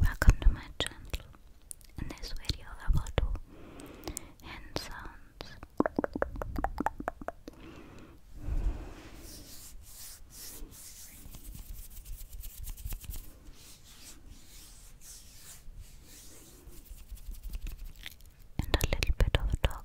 Welcome to my channel. In this video, I will do hand sounds and a little bit of talking.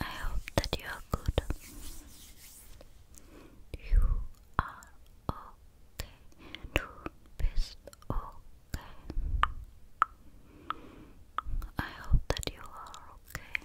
I hope that you are good. You are okay. Du bist okay. I hope that you are okay.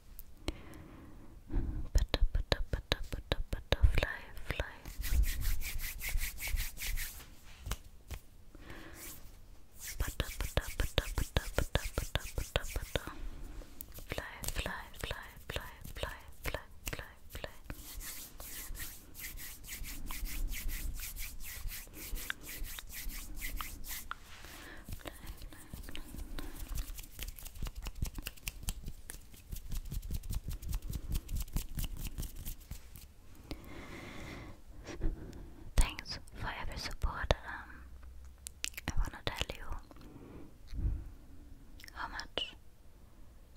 Butter, butter, butterfly, fly. Butter, butter, butter, butter, butter, Fly, fly, fly, fly, fly, fly, fly, fly. Fly, fly, Thanks for every support. Um, I wanna tell you how much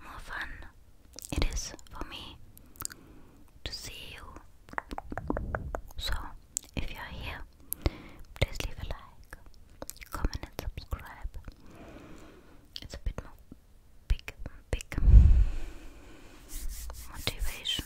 more fun it is for me to see you. So if you are here, please leave a like, comment, and subscribe. It's a bit more big, big motivation.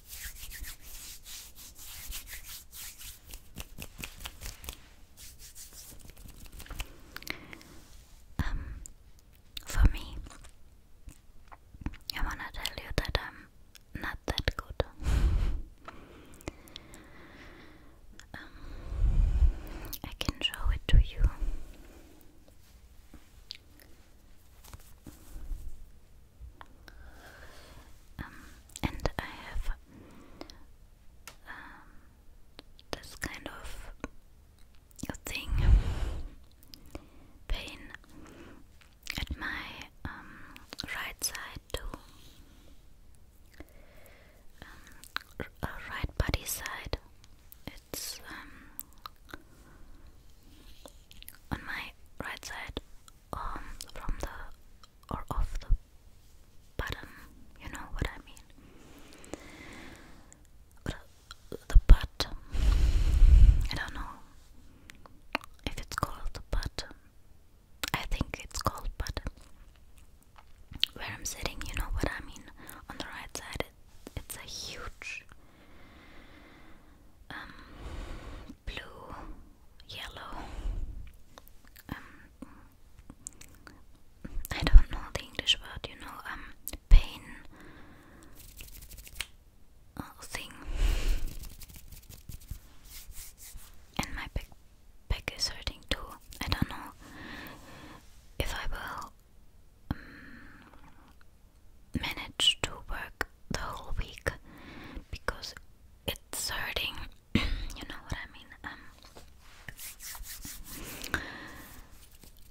Um, for me, I wanna tell you that I'm not that good. Um, I can show it to you. Um, and I have um, this kind of thing, pain at my um, right side too, um, uh, right body side. It's on my right side um from the or off the button, you know what I mean. But uh, the butt, I don't know if it's called butt. I think it's called butt. Where I'm sitting, you know what I mean. On the right side, it's a huge um, blue, yellow. Um, I don't know the English word, you know, um, pain uh, thing. And my back, back is hurting too. I don't know if I will um, manage to work the whole week because it's hurting. you know what I mean? Um,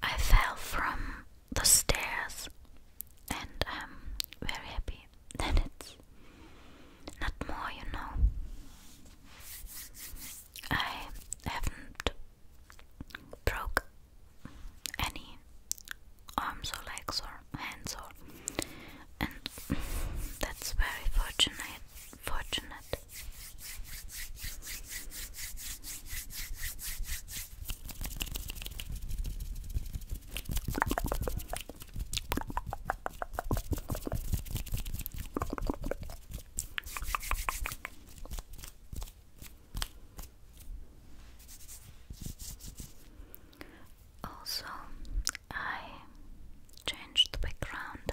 I fell from the stairs and I'm very happy that it's not more, you know. I haven't broke any arms or legs or hands or and that's very fortunate fortunate also, I changed the background.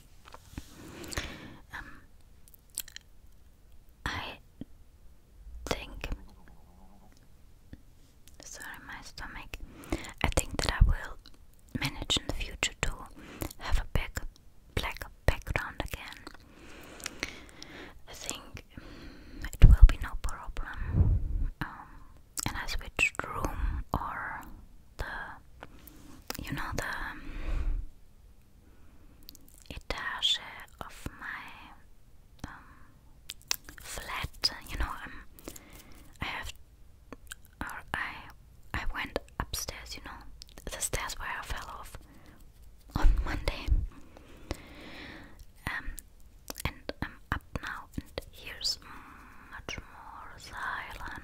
um, I think. Sorry, my stomach. I think that I will manage in the future to have a big black background again. I think mm, it will be no problem. Um, and I switched room or the you know the um, etage of my um, flat. You know, um, I have or I I went upstairs. You know, the stairs where I fell off on Monday. Um, and I'm up now, and here's much more silent.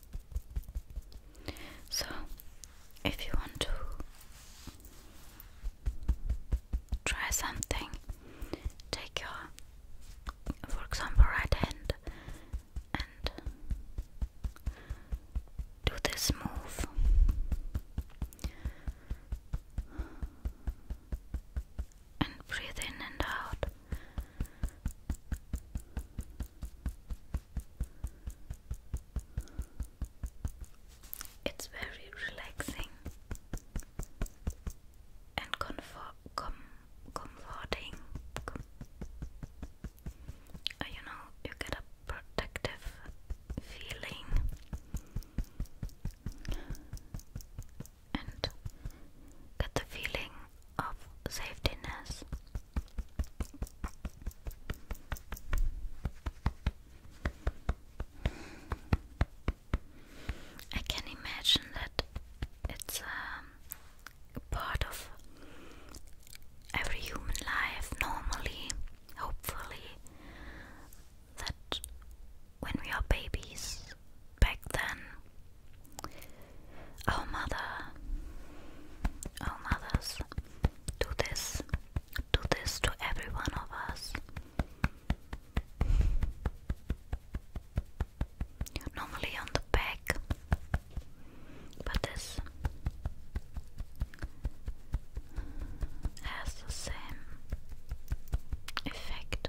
So, if you want to try something, take your, for example, right hand and do this move and breathe in and out. It's very relaxing and comfort, com comforting. Uh, you know, you get a protective feeling and get the feeling of safeness. I can imagine that it's um, part of every human life, normally, hopefully, that when we are babies, back then. Oh, mother, oh, mothers, do this, do this to every one of us. Normally on the back, but this has the same effect.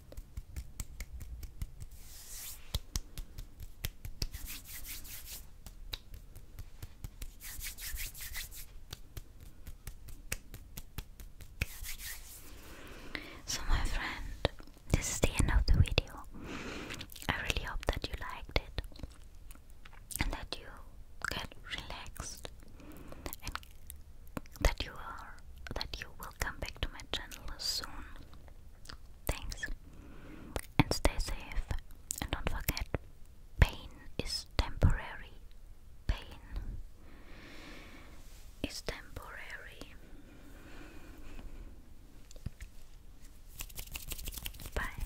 So, my friend, this is the end of the video. I really hope that you liked it and that you get relaxed and that you are, that you will will come back to my channel soon. Thanks and stay safe and don't forget pain is temporary. Pain is temporary. Bye.